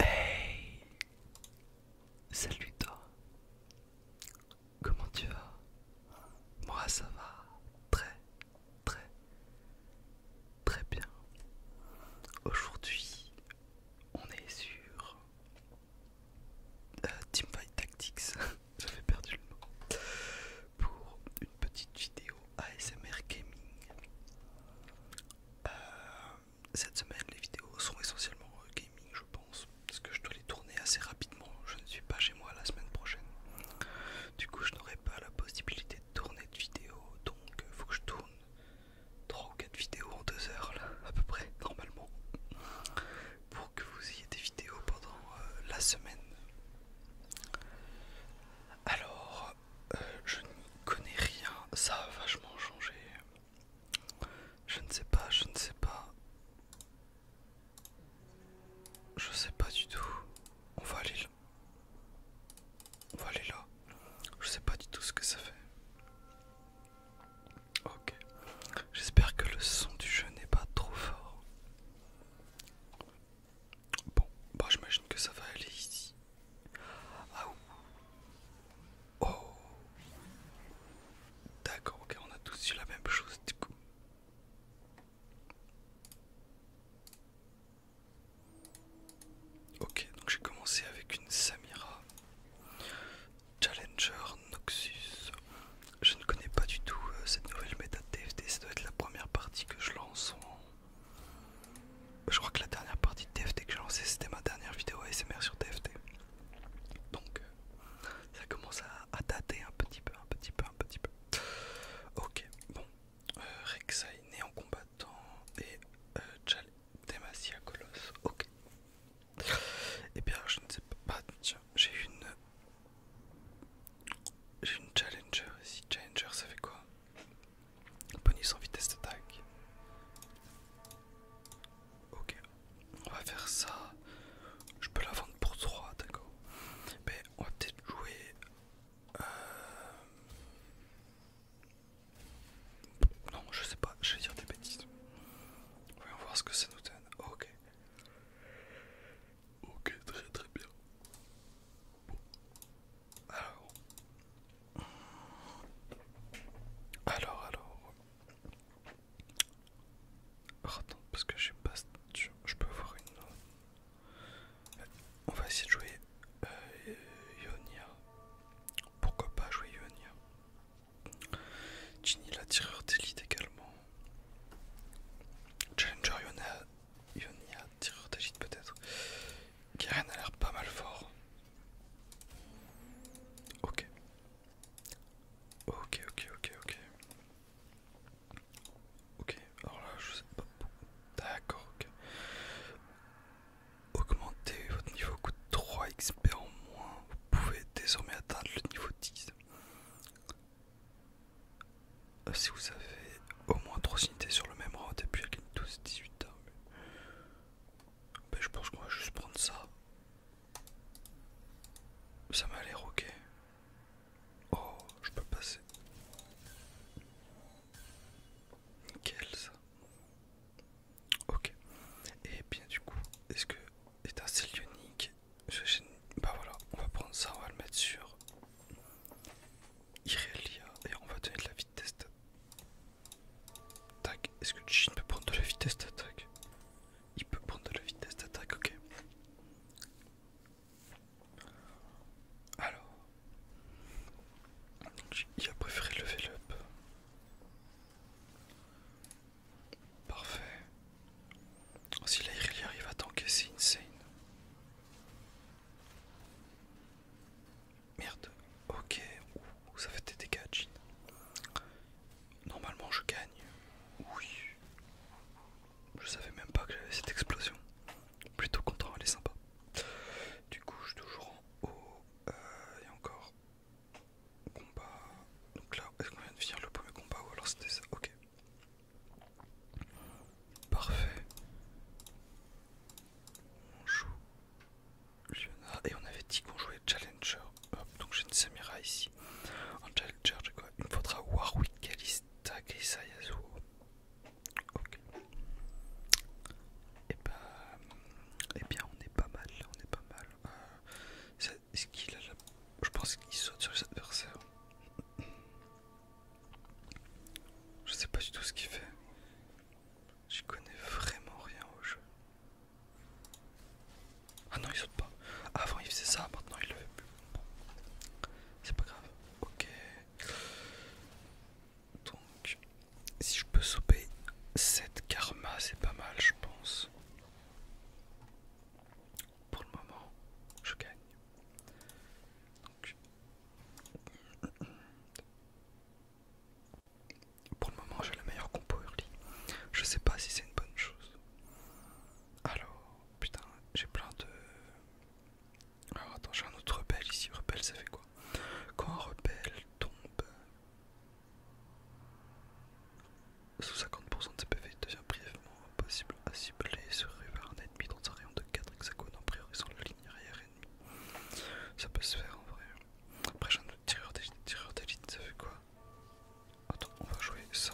Hey Salut toi Comment tu vas Moi ça va très très très bien. Aujourd'hui on est sur euh, Teamfight Tactics. J'avais perdu le mot. Pour une petite vidéo ASMR Gaming. Euh, cette semaine, les vidéos sont essentiellement euh, gaming, je pense, parce que je dois les tourner assez rapidement. Je ne suis pas chez moi la semaine prochaine. Du coup, je n'aurai pas la possibilité de tourner de vidéos, donc il euh, faut que je tourne 3 ou 4 vidéos en 2 heures, là, à peu près, normalement, pour que vous ayez des vidéos pendant la semaine. Alors, je ne connais rien. Ça a vachement changé. Je ne sais pas, je ne sais pas. Je ne sais pas du tout. On va aller là. On va aller là. Je ne sais pas du tout ce que ça fait. Ok. J'espère que le son du jeu n'est pas trop fort. Bon, bah j'imagine que ça va aller ici. Ah ouh. Oh. D'accord, ok, on a tous eu la même chose du coup. Ok, donc j'ai commencé avec une Samira. Challenger Noxus. Je ne connais pas du tout euh, cette nouvelle méta TFT, ça doit être la première partie que je lance en je crois que la dernière partie de TFT que j'ai lancée, c'était ma dernière vidéo ASMR sur TFT. Donc, euh, ça commence à, dater un petit peu, un petit peu, un petit peu. Ok, bon. Euh, Rek'Sai, né en combattant, et euh, Demacia Colosse. Ok. Et eh bien, je ne sais pas. Bah, tiens, j'ai une. J'ai une Challenger ici. Challenger, ça fait quoi Bonus sans vitesse d'attaque. Ok, on va faire ça. Je peux la vendre pour 3, d'accord. Mais on va peut-être jouer. Euh, non, je sais pas, je vais dire des bêtises. Voyons voir ce que ça nous donne. Ok. Ok, très très bien. Alors. Alors, alors. Oh, attends, parce que je sais pas je peux avoir une. On va essayer de jouer euh, Ionia. Pourquoi pas jouer Ionia Ginny, la tireur d'élite également. Challenger Ionia y a tireur d'agite peut-être. Karen a l'air pas mal fort. Ok. Ok, ok, ok, ok. Ok, alors là je sais pas D'accord, ok. Augmentez votre niveau coûte 3 XP en moins. Vous pouvez désormais atteindre le niveau 10. Euh, si vous avez au moins 3 unités sur le même rang depuis 12-18 ans. Ben, je pense qu'on va juste prendre ça. Ça m'a l'air ok. Oh, je peux passer. Nickel ça. Ok. Et bien du coup, est-ce que est un unique Bah voilà, on va prendre ça, on va le mettre sur Irelia, et on va donner de la vitesse d'attaque. Est-ce que Jin peut prendre de la vitesse d'attaque Il peut prendre de la vitesse d'attaque, ok. Alors, il a préféré level up. Parfait. Si la Irelia arrive à tanker, c'est insane. Merde, ok, ça fait des dégâts, Normalement, je gagne. Oui, je savais même pas que j'avais cette explosion. Plutôt content, elle est sympa. Du coup, je suis toujours en haut. Euh, et encore combat. Donc là, est-ce qu'on vient de finir le premier combat ou alors c'était ça Ok. Parfait. On joue Leonard. Et on avait dit qu'on jouait Challenger. donc j'ai une Samira ici. En Challenger, j'ai quoi Il me faudra Warwick, Kalista, Grisa, Ok. Et eh, ben, eh bien, on est pas mal là, on est pas mal. Euh, est-ce qu'il a la. Je pense qu'il saute sur les adversaires. Je sais pas du tout ce qu'il fait. J'y connais vraiment rien au jeu. Ah non, il saute pas. Ah, avant il faisait ça, maintenant il le fait plus. C'est pas grave. Ok. Donc, si je peux sauver cette karma, c'est pas mal, je pense. Pour le moment, je gagne. Pour le moment, j'ai la meilleure compo early. Je sais pas si c'est une bonne chose. Alors, putain, j'ai plein de. Alors, attends, j'ai un autre rebelle ici. Rebelle, ça fait quoi Quand un rebelle tombe sous 50% de ses PV, il devient brièvement impossible à cibler sur River ennemis dans un rayon de 4 hexagones en priorisant la ligne arrière ennemie. Ça peut se faire en vrai. Après j'ai un autre tireur d'élite, ça fait quoi Attends, on va jouer ça.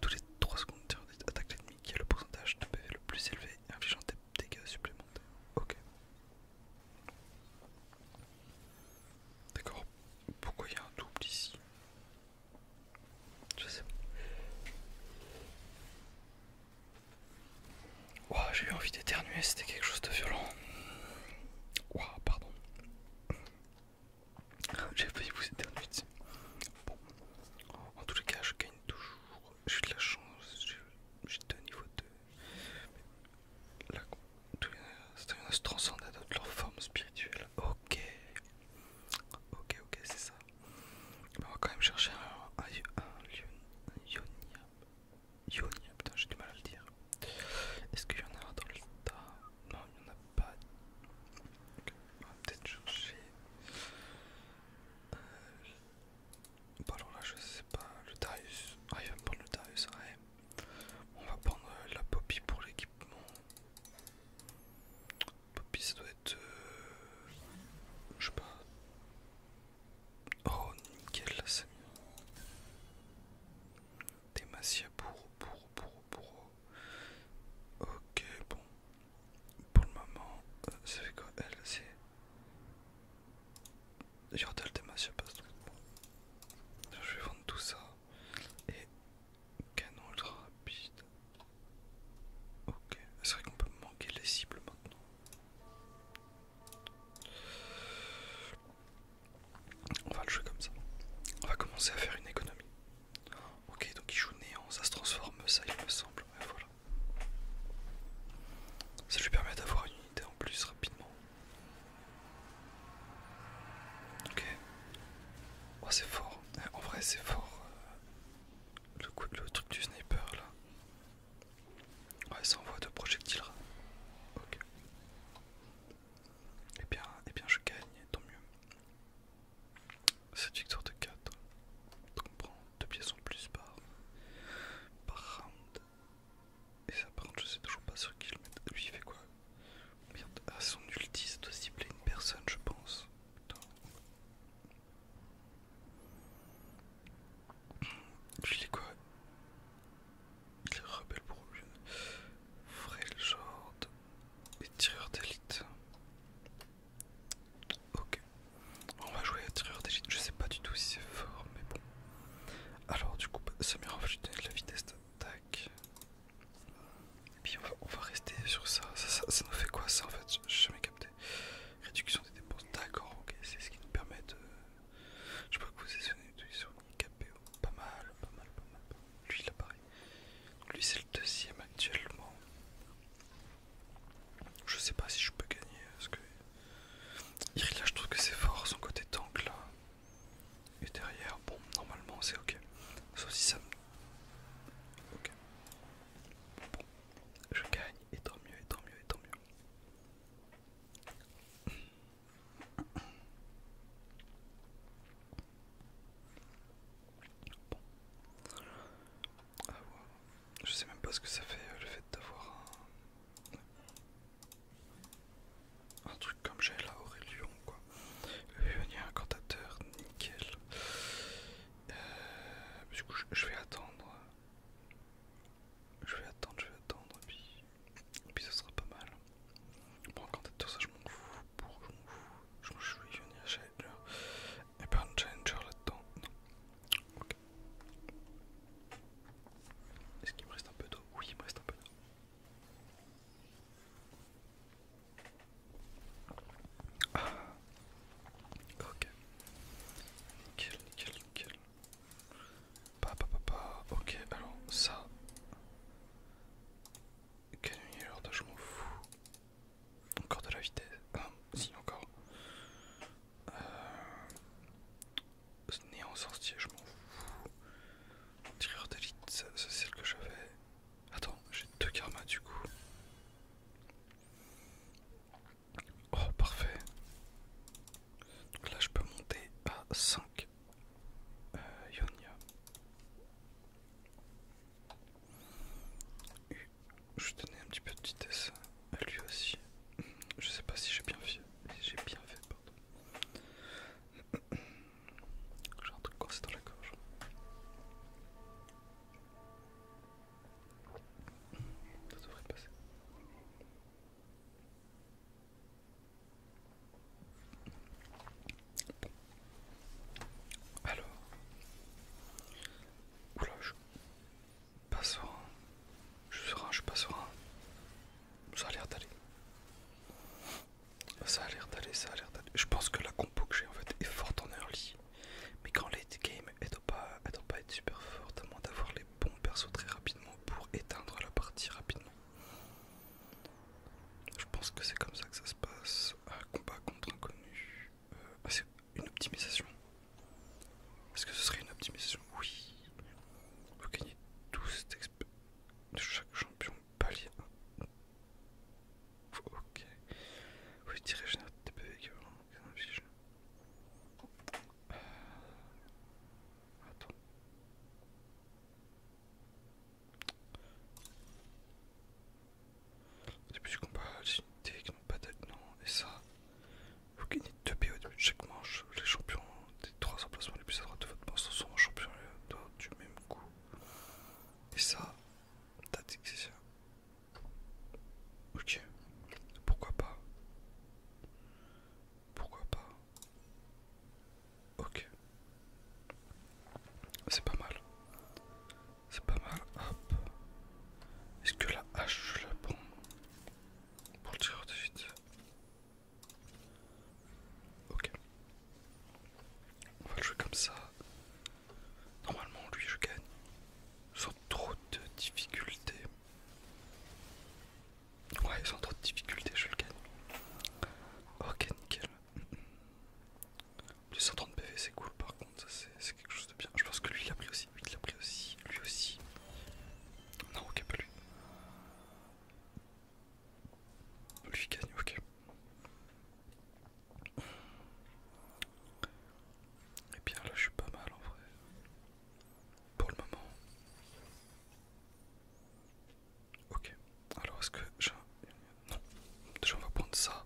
Tous les 3 secondes, tireur d'élite attaque l'ennemi qui a le pourcentage de PV le plus élevé infligeant des dégâts supplémentaires. Ok. D'accord, pourquoi il y a un double ici je sais pas. j'ai eu envie d'éternuer, c'était quelque chose de violent. Wow, pardon. J'ai failli vous éternuer. Bon. En tous les cas, je gagne toujours. J'ai de la chance. J'ai deux niveaux de. Là, Certains se transcender à leur forme spirituelle. Ok. Ok, ok, c'est ça. Bah, on va quand même chercher un, un, un, putain, j'ai du mal à le dire. Est-ce qu'il y en a dans le tas Non, il n'y en a pas. On va peut-être chercher. Euh... Bah, alors là, je sais pas. Le Darius. Ah, il va me prendre le Darius, ouais. On va prendre euh, la Poppy pour l'équipement. Poppy, ça doit être. Euh, je sais pas. Oh, nickel, là, c'est Demacia pour, pour, pour, pour. Ok, bon. Pour le moment, euh, ça fait quoi Elle, c'est. Yordal des massia passe Je vais vendre tout ça. Et Canon ultra rapide. Ok, c'est vrai qu'on peut manquer les cibles maintenant. On va le jouer comme ça. On va commencer à faire une économie. Ok, donc il joue néant, ça se transforme, ça il me semble. Ça lui permet d'avoir une unité en plus rapidement. Ok. Oh, c'est fort. En vrai, c'est fort. Euh, le, coup, le truc du sniper là. Ouais, ça envoie deux projectiles. Ok. Et eh bien, et eh bien je gagne, tant mieux. Cette victoire de 4. Donc on prend deux pièces en plus par, round. Et ça par contre je sais toujours pas sur qui le mettre. Lui il fait quoi à ah, son ulti c'est doit cibler une personne je pense. Je quoi Les rebelles rebelle pour l'une. Frail Jord et tireur d'élite. Ok. On va jouer à tireur d'élite. Je sais pas du tout si c'est fort, mais bon. Alors, du coup, ça me en de la vitesse d'attaque. Et puis on va, rester sur ça. Ça, nous fait quoi ça en fait Je jamais capté. Réduction des dépenses, d'accord, ok, c'est ce qui nous permet de. Je peux que vous êtes sur KPO. Pas mal, pas mal, pas mal. Lui il apparaît. lui c'est le deuxième actuellement. Je sais pas si je peux gagner euh, parce que. Il là je trouve que c'est fort son côté tank là. Et derrière, bon, normalement c'est ok. si ça Ok. Je gagne, et tant mieux, et tant mieux, et tant mieux. Je sais même pas ce que ça fait euh, le fait d'avoir un... truc comme j'ai là au quoi vais venir à un cantateur, nickel. Euh, du coup, je, vais attendre. Je vais attendre, je vais attendre, et puis, ça sera pas mal. Un cantateur, ça je m'en fous. Pour, je m'en fous. Je vais venir y challenger. Et pas un challenger là-dedans, Ok. Est-ce qu'il me reste un peu d'eau Oui, il me reste un peu d'eau. Ok. Nickel, nickel, nickel. Pa, pa, pa, pa. Ok, alors ça. Quel de, je m'en fous. Encore de la vitesse. Ah, si, encore. Euh, néant sorcier, je m'en fous. Tireur d'élite, c'est celle que j'avais. Attends, j'ai deux karmas du coup. Oh, parfait. Donc là, je peux monter à 5 euh, Je tenais un petit peu de vitesse à lui aussi. Je sais pas si j'ai bien fait. J'ai bien fait, pardon. J'ai un truc corsé dans la gorge. Ça devrait passer. Alors. Oula, je suis pas Je suis serein, je suis pas serein. Ça a l'air d'aller. Ça a l'air d'aller, ça a l'air d'aller. Je pense que la compo que j'ai en fait est forte en early. Mais quand late game, elle doit pas, être super forte à moins d'avoir les bons persos très rapidement pour éteindre la partie rapidement. Je pense que c'est comme ça que ça se passe. Un combat contre inconnu. Euh, ah, c'est une optimisation. Est-ce que ce serait une optimisation Oui. Vous gagnez 12 de chaque champion palier Ok. vous pouvez tirer générer des PV euh... Attends. Au début du combat, les unités qui n'ont pas d'aide, non, et ça. Vous gagnez 2 PO au début de chaque manche. Les champions des 3 emplacements les plus à droite de votre manche sont en champion euh, du même coup. Et ça, T'as c'est ça. Ok, pourquoi pas Pourquoi pas Ok. C'est pas mal. C'est pas mal, hop. Est-ce que la hache, je la prends Pour le tireur de vite. Ok. On va le jouer comme ça. Normalement, lui, je gagne sans trop de difficultés. Ouais, sans trop de difficultés, je le gagne. Ok, nickel. 230 130 PV, c'est cool par contre, ça c'est quelque chose de bien. Je pense que lui, il a pris aussi. Lui, il a pris aussi. Lui aussi. Non, ok, pas lui. Lui gagne, ok. Et bien là, je suis pas mal en vrai. Pour le moment. Ok. Alors, est-ce que j'ai un... Non. Déjà, on va prendre ça.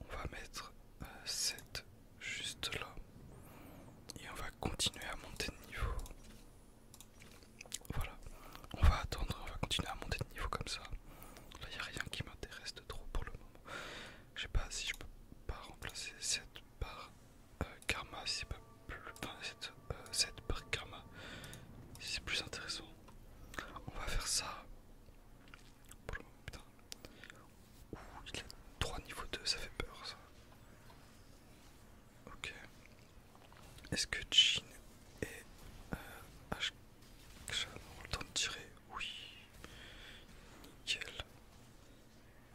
On va mettre euh, cette juste là. Et on va continuer à monter de niveau. Voilà, on va attendre, on va continuer à monter de niveau comme ça. Là, il a rien qui m'intéresse de trop pour le moment. Je sais pas si je peux pas remplacer cette par euh, karma, si c'est pas plus. Enfin, cette, par euh, karma, si c'est plus intéressant. On va faire ça. Pour le moment, putain. Ouh, il a 3 niveaux 2, ça fait peur ça. Ok, est-ce que Jin et euh, ont le temps de tirer Oui. Nickel.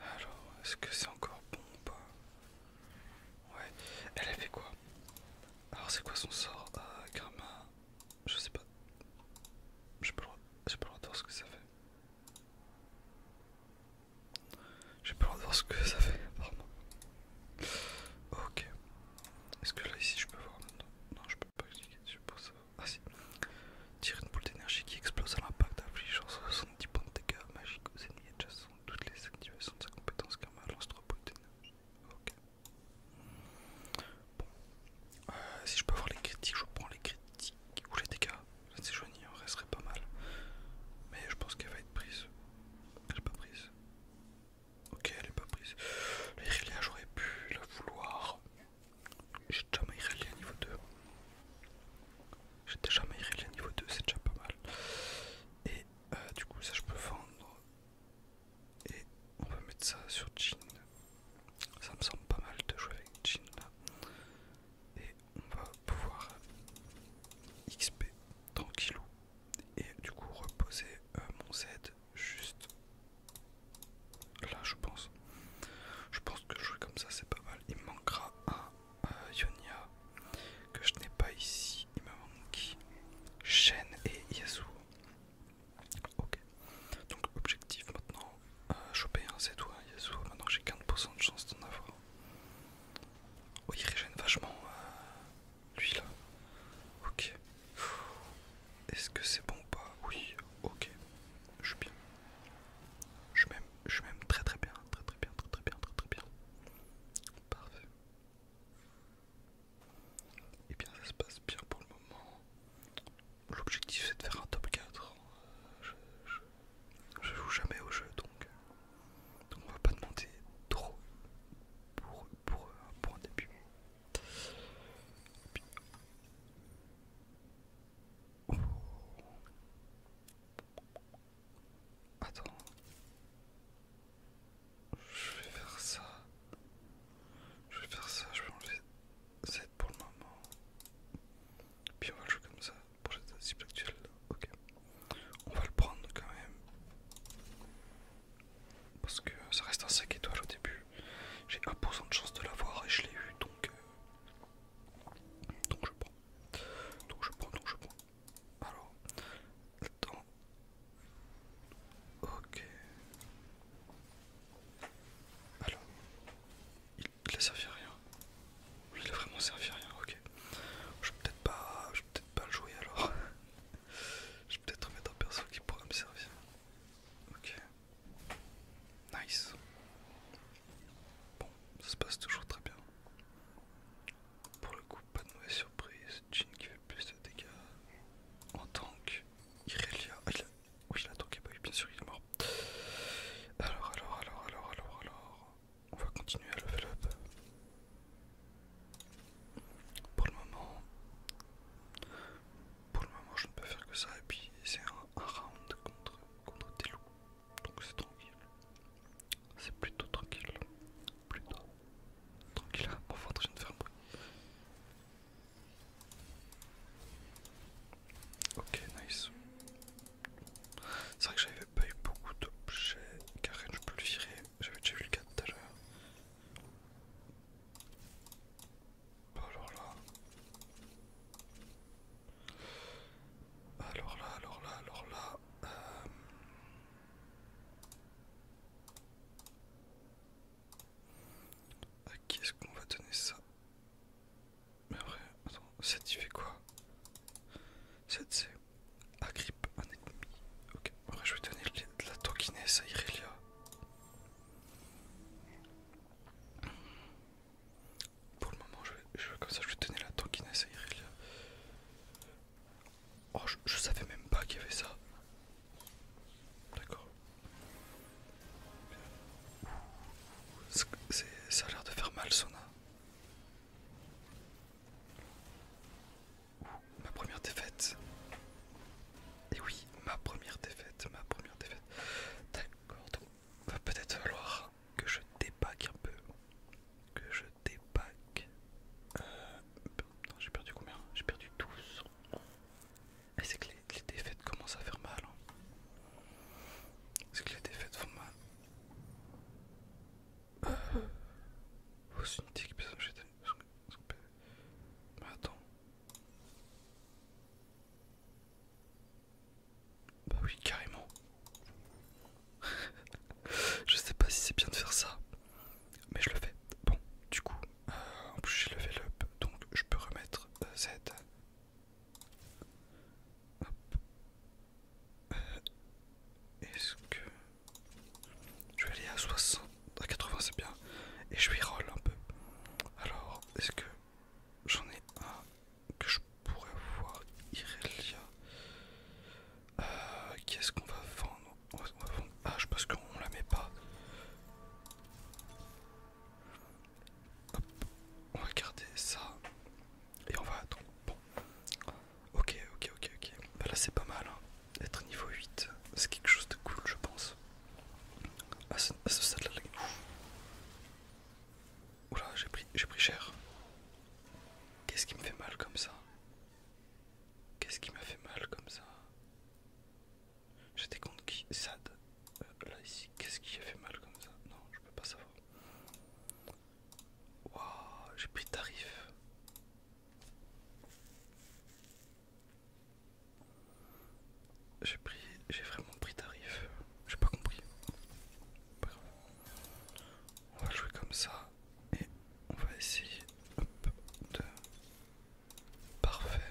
Alors, est-ce que c'est encore bon ou pas Ouais. Elle a fait quoi Alors, c'est quoi son sort à euh, Karma Je sais pas. J'ai pas le droit de voir ce que ça fait. J'ai pas le droit de voir ce que ça fait, Vraiment. Ok. Est-ce que là ici je peux voir Non je peux pas cliquer dessus pour ça. Ah si. Tire une boule d'énergie qui explose à l'impact Genre 70 points de dégâts magiques aux ennemis façon, Toutes les activations de sa compétence karma lance 3 boules d'énergie. Ok. Bon. Euh, si je peux voir les critiques, je prends les critiques ou les dégâts. C'est si en resterait pas mal. Mais je pense qu'elle va être prise. Elle n'est pas prise. Ok, elle est pas prise. La j'aurais pu la vouloir. J'ai déjà ma Irelia niveau 2. J'ai déjà ma Irelia niveau 2, c'est déjà pas mal. Et euh, du coup, ça je peux vendre. Et on va mettre ça sur Jean. Ça me semble pas mal de jouer avec Jean là. Et on va pouvoir XP tranquillou et du coup reposer euh, mon Z juste là je pense je pense que jouer comme ça c'est pas mal il me manquera un Yonia euh, que je n'ai pas ici il me manque Shen et Yasuo ok donc objectif maintenant euh, choper un Z ou un Yasuo maintenant j'ai 40% de chance d'en avoir oui, régène vachement lui là. Ok. Est-ce que c'est bon ou pas Oui. Ok. Je suis bien. Je m'aime. Je m'aime très très bien. Très très bien. Très très bien. Très très bien. Parfait. Et eh bien ça se passe bien pour le moment. L'objectif c'est de faire un top 4. Je, joue jamais au jeu donc. Donc on va pas demander trop pour euh, pour, un début. Attends, je vais faire ça. Je vais faire ça, je vais enlever cette pour le moment. Puis on va le jouer comme ça pour cette cible actuelle. Ok, on va le prendre quand même. Parce que ça reste un sac étoile au début. J'ai 1% de chance de l'avoir et je l'ai eu donc. Euh, donc je prends. Donc je prends, donc je prends. Alors. Attends. Ok. Alors. Il, ne a servi à rien. Il a vraiment servi à rien, ok. Je vais peut-être pas, peut pas le jouer alors. Je vais peut-être mettre un perso qui pourra me servir. Ok. Nice. Bon, ça se passe toujours très bien. Pour le coup, pas de mauvaise surprise. Jin qui fait plus de dégâts en tank. Irelia. Ah, Oui, il a tanké, bah bien sûr, il est mort. Alors, alors, alors, alors, alors, alors. On va continuer à level up. Pour le moment, pour le moment, je ne peux faire que ça. Et puis c'est un, round contre contre des donc c'est tranquille. C'est plutôt tranquille, plutôt tranquille. Ah, enfin, je viens de faire un bruit. Ok, nice. C'est vrai que j'avais pas eu beaucoup d'objets. car je peux le virer. J'avais déjà vu le cas tout à l'heure. Alors là, alors là, alors là, alors là. Euh, à qui est-ce qu'on va donner ça Mais vrai, attends, ça t'y fait quoi c'est c Agrippe un ennemi. Ok, je vais donner la tokinesse à Irelia. Pour le moment, je vais, comme ça, je vais donner la tokinesse à Irelia. Oh, je savais même pas qu'il y avait ça. D'accord. Ça a l'air de faire mal, Sona ma première défaite. Et oui, ma première défaite, ma première défaite. D'accord, donc va peut-être falloir que je débague un peu. Que je dépaque euh, j'ai perdu combien J'ai perdu 12. Et c'est que les, défaites commencent à faire mal. Hein. C'est que les défaites font mal. une euh, mhm. Bah, attends. Bah oui, carrément. je sais pas si c'est bien de faire ça, mais je le fais. Bon, du coup, euh, en plus j'ai levé up, donc je peux remettre euh, Z. Hop. Euh, est-ce que je vais aller à 60 à 80 c'est bien et je vais roll un peu. Alors est-ce que j'en ai un que je pourrais voir Irelia euh, Qu'est-ce qu'on va vendre on Ah je pense qu'on la met pas. Hop. On va garder ça et on va attendre. Bon, Ok, ok, ok, ok. Bah là c'est pas mal. Hein. Être niveau 8, c'est quelque chose de cool, je pense. Ah ce, ça là, Oula, j'ai pris, pris cher. Qu'est-ce qui me fait mal comme ça Qu'est-ce qui m'a fait mal comme ça J'étais contre qui Sad. Euh, là ici, qu'est-ce qui a fait mal comme ça Non, je peux pas savoir. Waouh, j'ai pris tarif. J'ai pris, j'ai vraiment pris tarif. J'ai pas compris. On va jouer comme ça et on va essayer de parfait,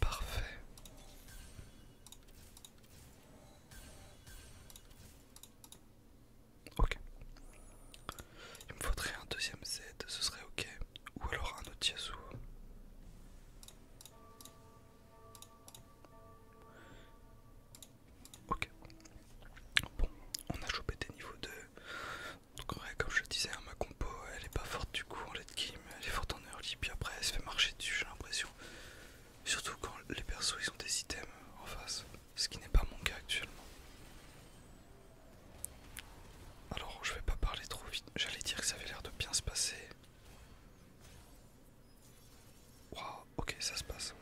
parfait. Ok. Il me faudrait un deuxième Z, ce serait ok. Ou alors un autre Yasuo. Ok. Bon, on a chopé des niveaux 2. Donc en vrai, comme je le disais, hein, ma compo elle est pas forte du coup en late game, elle est forte en early, puis après elle se fait marcher dessus j'ai l'impression. Surtout quand les persos ils ont des items en face ce qui n'est pas mon cas actuellement. Alors je vais pas parler trop vite, j'allais dire que ça avait l'air de bien se passer. Waouh, ok ça se passe.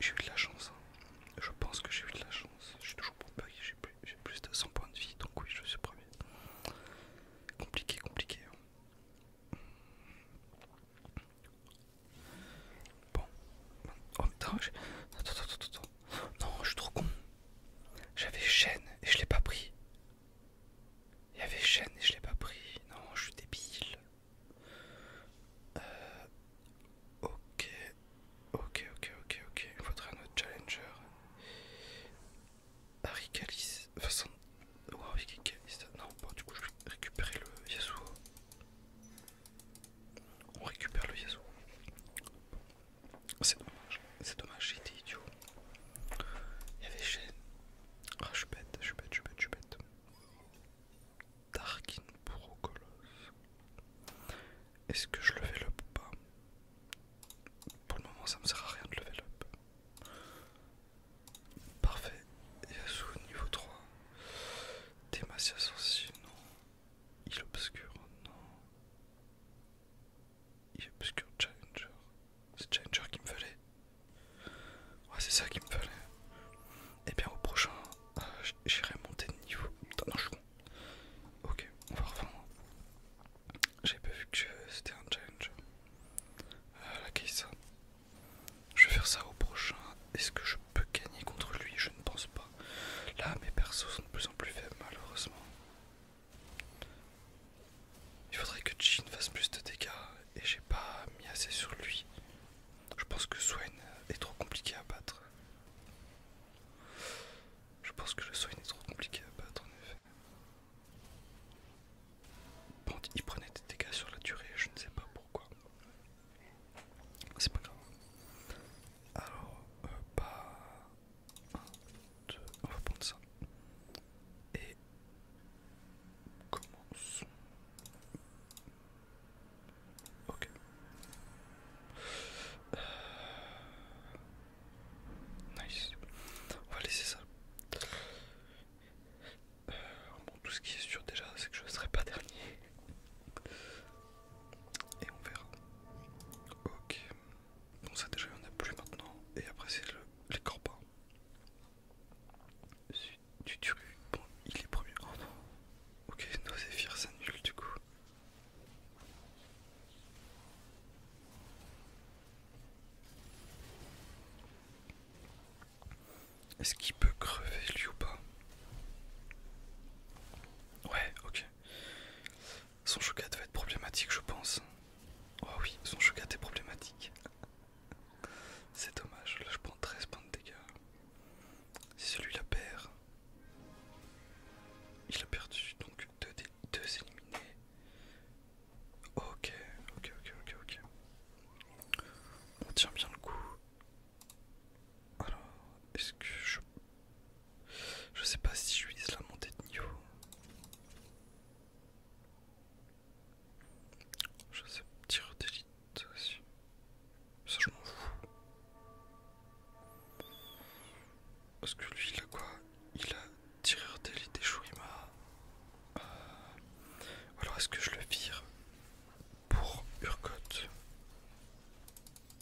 J'ai eu de la chance, hein. je pense que j'ai eu de la chance. Je suis toujours pas j'ai plus, de 100 points de vie, donc oui je suis premier. Compliqué, compliqué. Hein. Bon. Oh putain, Attends, attends, attends, Non, je suis trop con. J'avais chaîne et je l'ai pas pris. Il y avait chaîne et je l'ai pas pris. Non, je suis débile. Euh, ok. Ok, ok, ok, ok. Il faudrait un autre challenger. Harry Calis... Enfin, Non, bon, du coup, je vais récupérer le Yasuo. On récupère le Yasuo. C'est dommage, c'est dommage, j'étais idiot. Il y avait Ah, je suis bête, je suis bête, je suis bête, je suis bête. Darkin Brocolos. Est-ce que je level up ou pas Pour le moment, ça me sert à rien de le level up. Parfait. Yasuo niveau 3. Demacia sensible, non. Il obscure, non. Il obscure Challenger. C'est Challenger qui me fallait. Ouais, c'est ça qui me fallait. Et eh bien, au prochain, euh, j'irai monter de niveau. Putain, non, je Ok, on va revenir J'avais pas vu que c'était un Challenger euh, la Keissa. Je vais faire ça au prochain. Est-ce que je peux gagner contre lui Je ne pense pas. Là, mes persos sont de plus en plus faibles, malheureusement. Il faudrait que Jin fasse plus de dégâts et j'ai pas mis assez sur lui. Je pense que Swain est trop compliqué à battre. Je pense que le Swain est trop compliqué à battre en effet. Bon, il prenait des dégâts sur la durée, je ne sais pas pourquoi. C'est pas grave. Alors, euh, pas bah. 1, on va prendre ça. Et. commence Ok. Euh... Nice. On va laisser ça. Euh, bon, tout ce qui est sûr déjà, c'est que je ne serai pas dernier. Et on verra. Ok. Bon, ça déjà, il n'y en a plus maintenant. Et après, c'est le, les corbins. Du turu. Bon, il est premier. Oh, ok, nos éphires s'annulent du coup. Est-ce qu'il peut crever lui ou pas Ouais, ok. Son chocat va être problématique, je pense. Oh oui, son chocat est problématique. C'est dommage, là je prends 13 points de dégâts. Si celui-là perd, il a perdu donc 2 deux éliminés. Ok, ok, ok, ok, ok. On tient bien le coup. Alors, est-ce que je... Je sais pas si je vise la montée de niveau. Je sais tireur d'élite aussi. Ça je m'en fous. Parce que lui il a quoi Il a tireur d'élite et Shurima. Ou euh, alors est-ce que je le vire pour Urgot.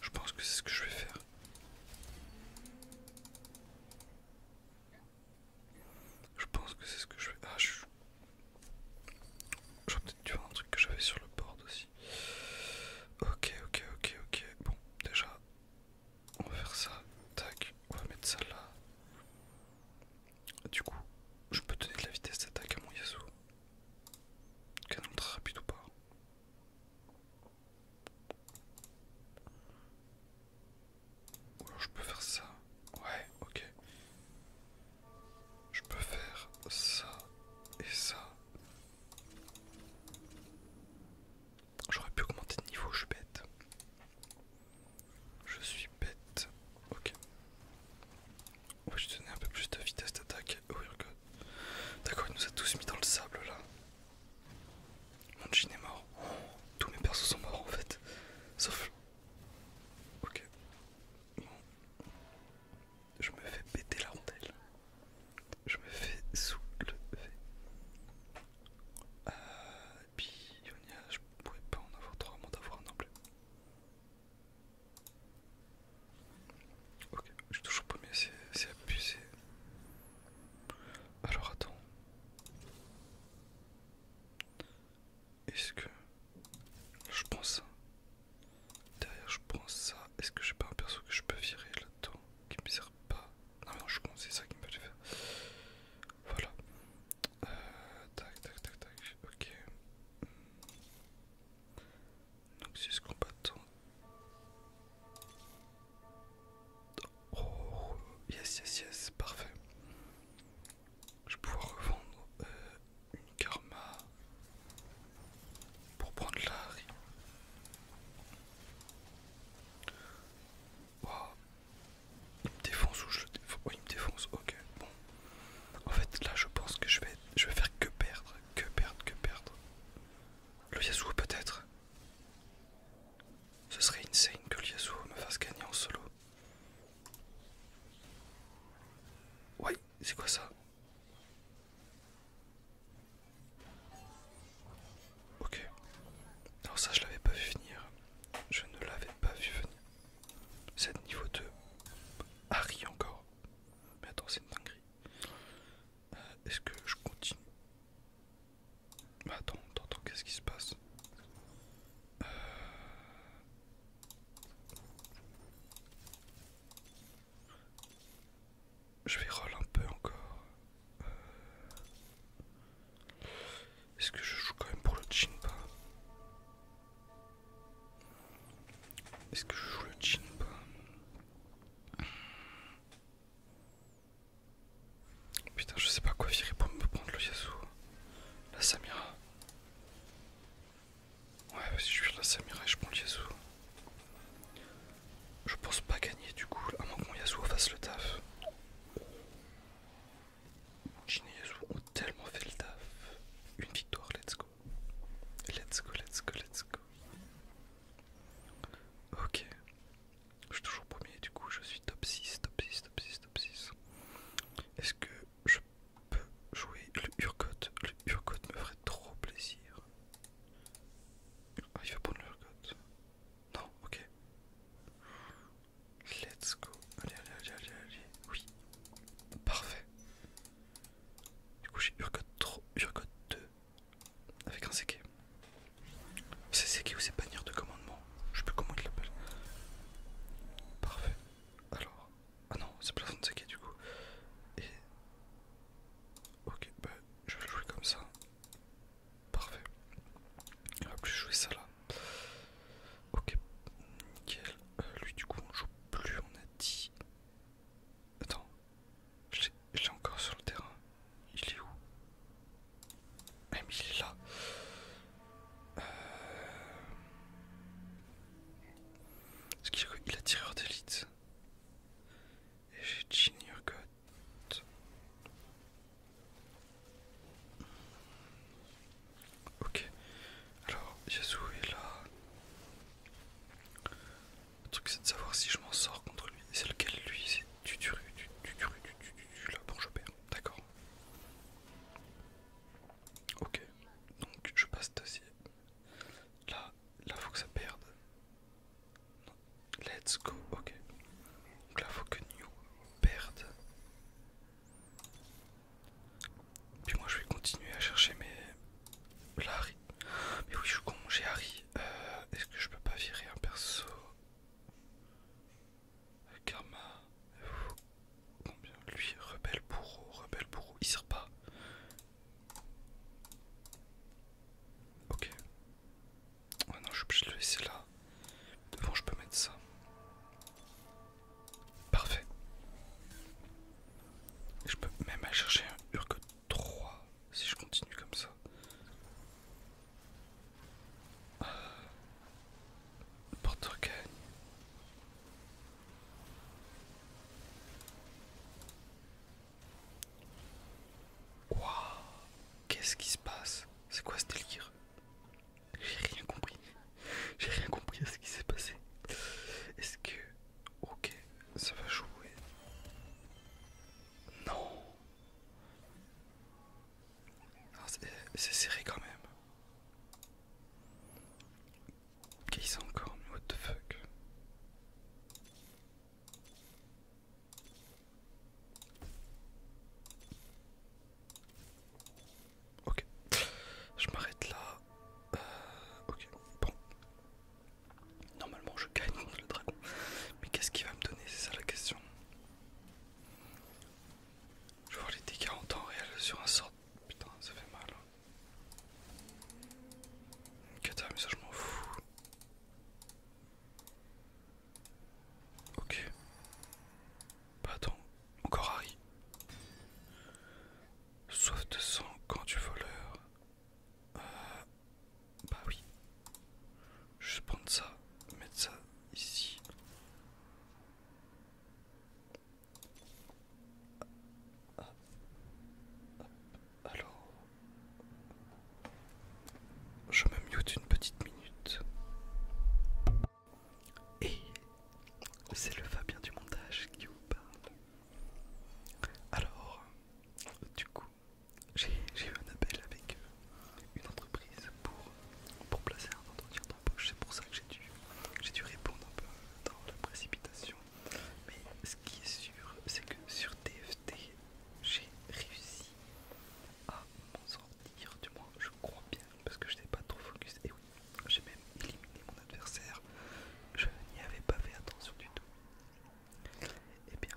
Je pense que c'est ce que je vais faire. Je pense que c'est ce que je vais. Ah, je J'aurais peut-être dû un truc que j'avais sur le board aussi. Ok, ok, ok, ok. Bon, déjà, on va faire ça. Tac, on va mettre ça là. Du coup, je peux donner de la vitesse d'attaque à mon Yasuo. Canon très rapide ou pas Ou alors je peux faire ça. Ouais, ok. Je peux faire ça et ça. J'aurais pu augmenter de niveau, je suis bête. Je suis bête. Ok. On va je donner un peu plus de vitesse d'attaque. Oh, D'accord, il nous a tous mis dans le sable là. Mon jean est mort. tous mes persos sont morts en fait. Sauf. Ok. Bon. Je me fais péter la rondelle. Je me fais soulever. Euh, et puis, Yonia, je pourrais pas en avoir trois avant d'avoir un emblème. Ok, je suis toujours mis c'est abusé. Alors attends. Est-ce que... Je prends ça. Derrière je prends ça. Est-ce que j'ai pas un perso que je peux virer là-dedans Qui me sert pas. Non non je pense c'est ça qui me fait faire. Voilà. Euh, tac, tac, tac, tac, ok. Donc c'est ce Oh, yes, yes, yes, parfait. Je vais pouvoir revendre euh, une karma pour prendre la rime Wow. Il me défonce ou je le défonce Oui, il me défonce, ok. Bon. En fait, là, je pense que je vais, je vais faire que perdre, que perdre, que perdre. Le Yasuo, peut-être Ce serait insane que le Yasuo me fasse gagner en solo. Ouais, c'est quoi ça Ok. Non, ça, je l'avais pas vu venir. Je ne l'avais pas vu venir le niveau 2. Harry encore. Mais attends, c'est une dinguerie. Euh, est-ce que je continue bah, Attends, attends, qu'est-ce qui se passe euh, Je vais roll un peu encore. Euh, est-ce que je joue quand même pour le Jinpa Est-ce que je joue le Jinpa Putain, je sais pas quoi virer pour me prendre le Yasuo. La Samira. Ouais, si je vire la Samira et je prends le Yasuo. Je pense pas gagner du coup, à moins que mon Yasuo fasse le taf. Ginny ont tellement fait le taf. Une victoire, let's go. Let's go, let's go, let's go. Ok. Je suis toujours premier, du coup je suis top 6, top 6, top 6, top 6. Est-ce que je peux jouer le Urgot Le Urgot me ferait trop plaisir. Ah, il veut prendre le Urgot. Non, ok. Let's go. Allez, allez, allez, allez, Oui. Parfait. Du coup, j'ai Urgot 3, 2. Avec un Seke. C'est Seke ou c'est bannière de commandement Je sais plus comment il l'appelle. Parfait. Alors. Ah non, c'est plafond de Seke du coup. Et. Ok, bah je vais le jouer comme ça. Parfait. On va plus jouer ça là. Ok, nickel. Euh, lui, du coup, on joue plus, on a dit. Attends, je l'ai encore sur le terrain. Il est où ah, mais il est là. Euh. Est-ce qu'il a, la tireur d'élite Et j'ai Junior God. Ok, alors Yasu est là. Le truc c'est de savoir si je m'en sors contre lui. C'est lequel lui C'est tu tu tu tu tu tu là. Bon, je perds, d'accord. Ok, donc je passe d'acier. Là, là faut que ça perde. Let's go, ok. là faut que New perde. Puis moi je vais continuer à chercher mes... Larry. Mais oui je suis con, j'ai Harry. Euh, est-ce que je peux pas virer un perso Karma. Combien Lui, rebelle bourreau, rebelle bourreau, il sert pas. Ok. Ouais non je suis obligé de le laisser là. Devant, je peux mettre ça. Parfait. Je peux même aller chercher un Urk 3 si je continue comme ça. Ah. Porte gagne. qu'est-ce qui se passe C'est quoi ce délire j'ai rien compris. J'ai rien compris à ce qui s'est passé. Est-ce que... Ok, ça va jouer. Non. Ah, c'est serré quand même. Ok, ce encore mais what the fuck Ok. Je m'arrête là. Euh, ok. Bon. Normalement je gagne contre le dragon. Mais qu'est-ce qu'il va me donner C'est ça la question. Je vois les dégâts en temps réel sur un sort. Putain, ça fait mal. Hein. ok, ça je m'en fous. Ok. Bah attends, encore Harry. Soif de sang quand tu voleurs. Euh, bah oui. Je vais prendre ça, mettre ça ici. Alors, je me mute une petite minute. Et c'est le Fabien du montage qui vous parle. Alors, du coup, j'ai eu un appel avec euh, une entreprise pour, pour placer un entretien d'embauche. C'est pour ça que j'ai dû, dû répondre un peu dans la précipitation. Mais ce qui est sûr, c'est que sur TFT, j'ai réussi à sortir du moins je crois bien, parce que je n'étais pas trop focus. Et oui, j'ai même éliminé mon adversaire, je n'y avais pas fait attention du tout. Et eh bien,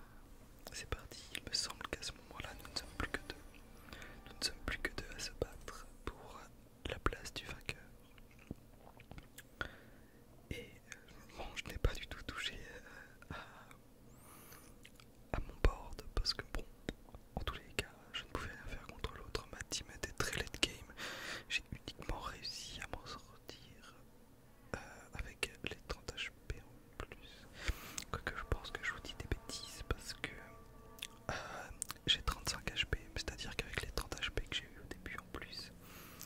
c'est parti, il me semble qu'à ce moment-là, nous ne sommes plus que deux. Nous ne sommes plus que deux à se battre pour la place du vainqueur. Et bon, je n'ai pas du tout touché euh, à, à mon board parce que bon, en tous les cas, je ne pouvais rien faire contre l'autre. Ma team était très late game. J'ai uniquement réussi à m'en sortir euh, avec les 30 HP en plus. Quoique je pense que je vous dis des bêtises parce que euh, j'ai 35 HP, c'est-à-dire qu'avec les 30 HP que j'ai eu au début en plus,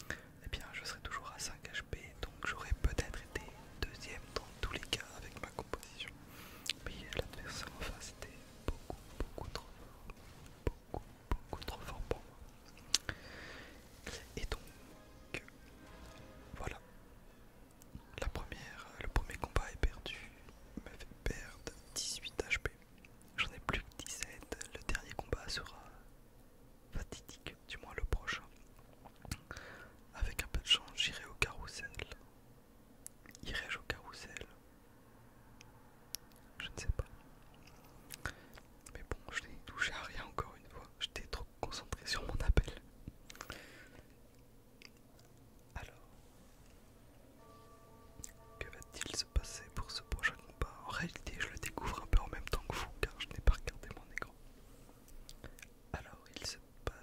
et eh bien je serai toujours à 5 HP, donc j'aurais peut-être été deuxième dans tous les cas avec ma composition. Mais l'adversaire en face était beaucoup, beaucoup trop fort. Beaucoup, trop fort pour moi. Et donc, voilà. La première, le premier combat est perdu. Il m'a fait perdre 18 HP. J'en ai plus que 17. Le dernier combat sera fatidique, du moins le prochain. Avec un peu de chance, j'irai au carrousel Irais-je au carrousel Je ne sais pas. Mais bon, je n'ai touché à rien encore une fois. J'étais trop concentré sur mon appel. Alors, que va-t-il se passer pour ce prochain combat En réalité, je le découvre un peu en même temps que vous, car je n'ai pas regardé mon écran. Alors, il se passe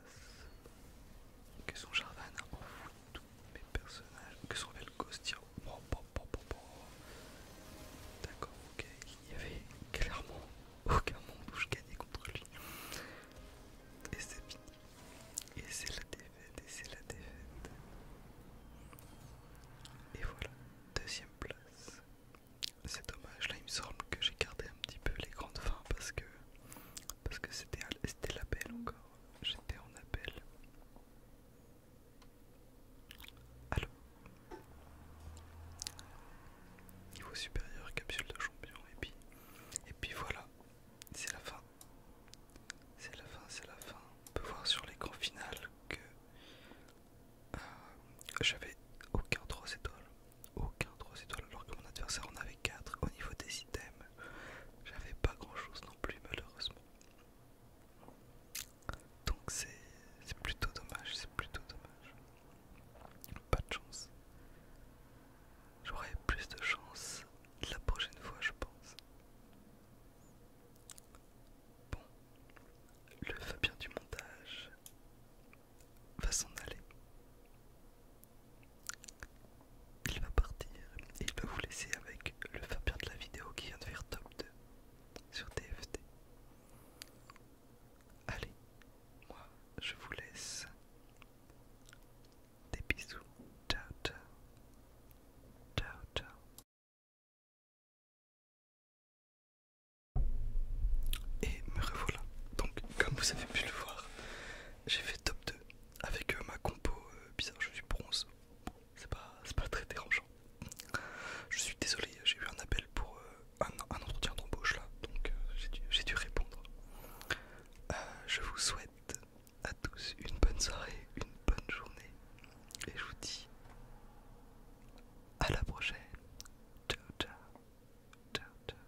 Que son jardin enfoui tous mes personnages Que son révèle D'accord, ok, il n'y avait clairement aucun monde où je gagnais contre lui Et c'est fini Et c'est la défaite, et c'est la défaite Et voilà, deuxième place c'est dommage, là il me semble que j'ai gardé un petit peu les grandes fins parce que parce que c'était l'appel encore. J'étais en appel. Allô Niveau supérieur, capsule de champion, et puis, et puis voilà, c'est la fin. C'est la fin, c'est la fin. On peut voir sur l'écran final que euh, j'avais aucun 3 étoiles aucun 3 étoiles alors que mon adversaire en avait 4 au niveau des items. J'avais pas grand chose non plus malheureusement. Donc c'est plutôt dommage, c'est plutôt dommage. Pas de chance. J'aurais plus de chance la prochaine fois je pense. Bon, le Fabien du montage va s'en aller. Il va partir et il va vous laisser avec le Fabien de la vidéo qui vient de faire top 2 sur TFT. Allez, moi je vous laisse. Des bisous. Ciao, ciao. Ciao, ciao. Et me revoilà. Donc, comme vous avez pu le voir, j'ai fait top 2 avec euh, ma compo euh, bizarre, je suis bronze. c'est pas, très dérangeant. Je suis désolé, j'ai eu un appel pour euh, un, entretien d'embauche là, donc j'ai dû, répondre. je vous souhaite à tous une bonne soirée, une bonne journée, et je vous dis à la prochaine. Ciao, ciao, ciao, ciao.